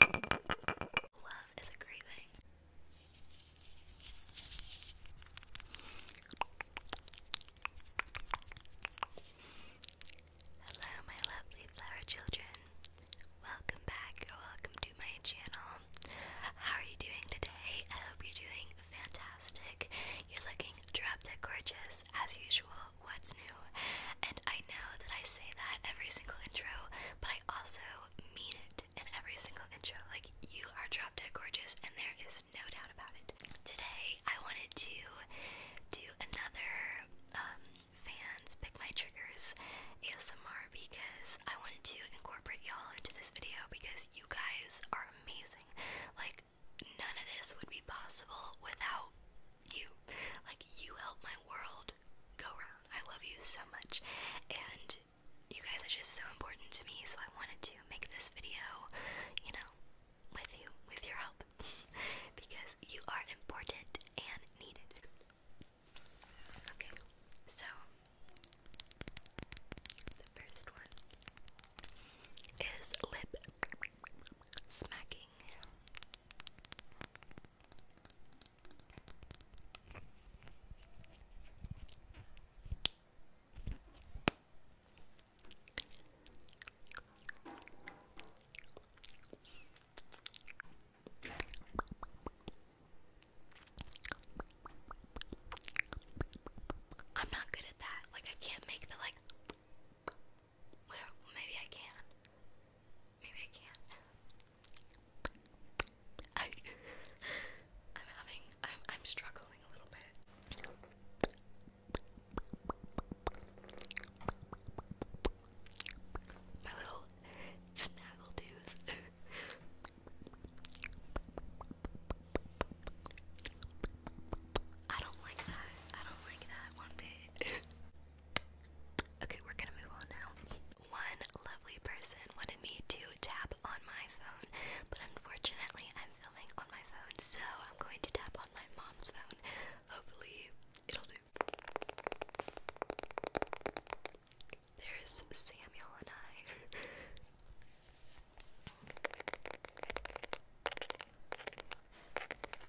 Love is a great thing. Hello, my lovely flower children. Welcome back welcome to my channel. How are you doing today? I hope you're doing fantastic. You're looking drop gorgeous as usual what's new? And I know that I say that every single intro, but I also mean it in every single intro. Like, you are drop dead gorgeous, and there is no doubt about it. Today, I wanted to do another um, fans pick my triggers ASMR because I wanted to incorporate y'all into this video because you guys are amazing. Like, none of this would be possible without you. Like, you help my world go round. I love you so much. And you guys are just so important to me, so I wanted to make this video, you know, with you, with your help. because you are important and needed. Okay, so the first one is lip smacking. I'm not good at that. Like I can't make the like well, maybe I can. Maybe I can. I, am having, I'm, I'm struggling a little bit. My little snaggle tooth. I don't like that. I don't like that one bit. Okay, we're gonna move on now. One lovely person wanted me to tap on my phone, but unfortunately, I'm filming on my phone, so I'm going to tap on my mom's phone. Hopefully, it'll do. There's Samuel and I.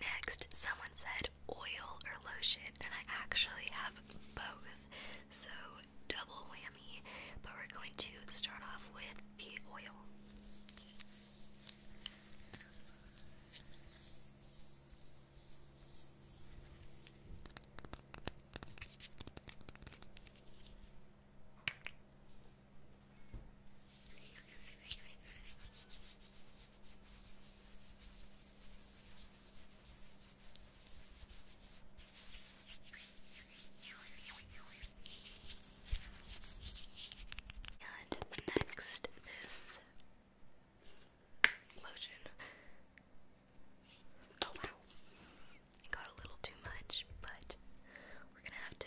Next, someone said oil or lotion, and I actually have both, so double whammy. But we're going to start off with the oil. And next, this lotion. Oh wow, I got a little too much, but we're gonna have to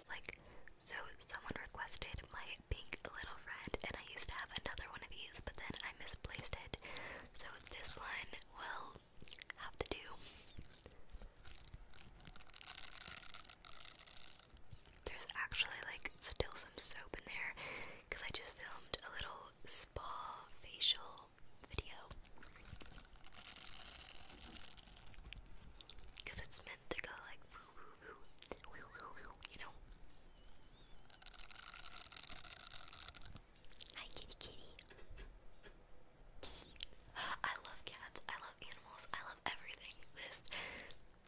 Like, so someone requested my pink little friend, and I used to have another one of these, but then I misplaced it. So this one will have to do. There's actually like still some soap in there because I just filmed a little spa facial video. Because it's meant to go like you know. Hi, kitty, kitty. I love cats. I love animals. I love everything. There's,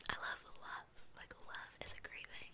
I love love. Like love is a great thing.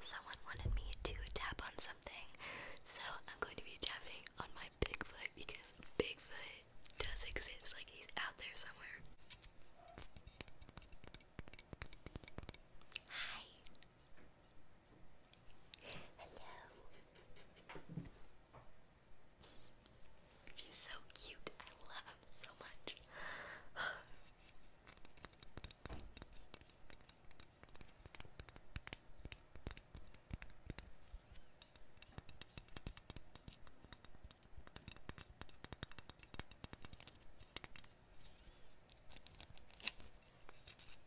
Someone wanted me to tap on something, so I'm going to be tapping on my Bigfoot because Bigfoot does exist, like he's out there somewhere. Hi. Hello. He's so cute. I love him so much.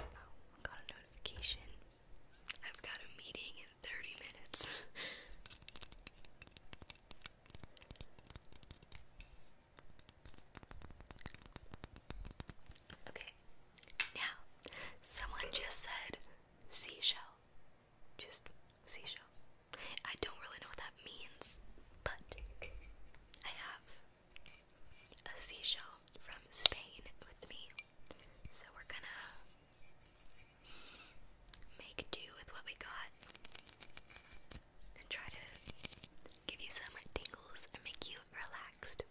Oh, got a notification. I've got a meeting in 30 minutes. Okay, now someone just said seashell. Just seashell. I don't really know what that means, but I have a seashell from Spain with me. So we're gonna make do with what we got and try to give you some tingles, and make you relaxed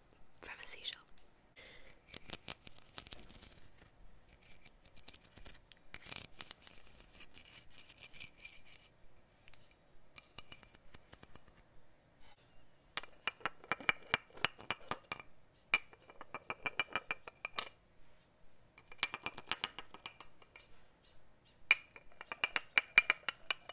from a seashell.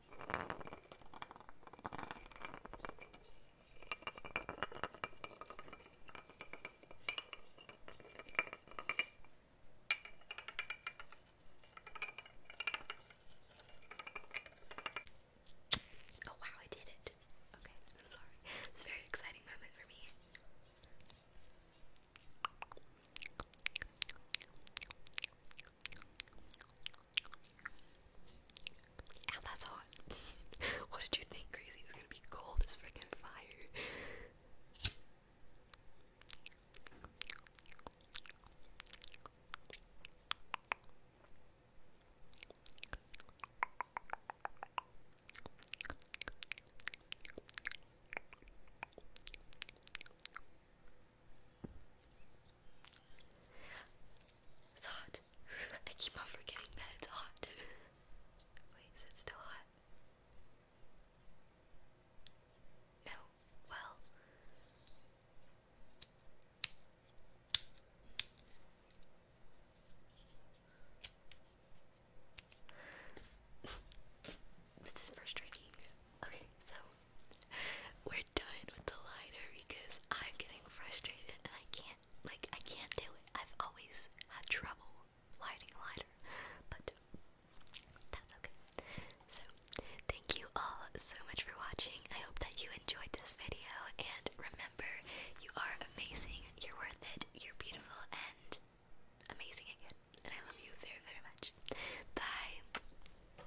Oh wow, I did it. Okay, I'm sorry. It's a very exciting moment for me. And that's hot. what did you think, Crazy? It was gonna be cold as freaking fire. It's hot. I keep on forgetting that it's hot. Wait, is it still hot? No. Well. this is frustrating. Okay, so We're done with the lighter because I'm getting frustrated and I can't like I can't do it. I've always had trouble lighting a lighter, but that's okay. So thank you all so much for watching. I hope that you enjoyed this video and remember you are amazing, you're worth it, you're beautiful and amazing again. And I love you very, very much. Bye.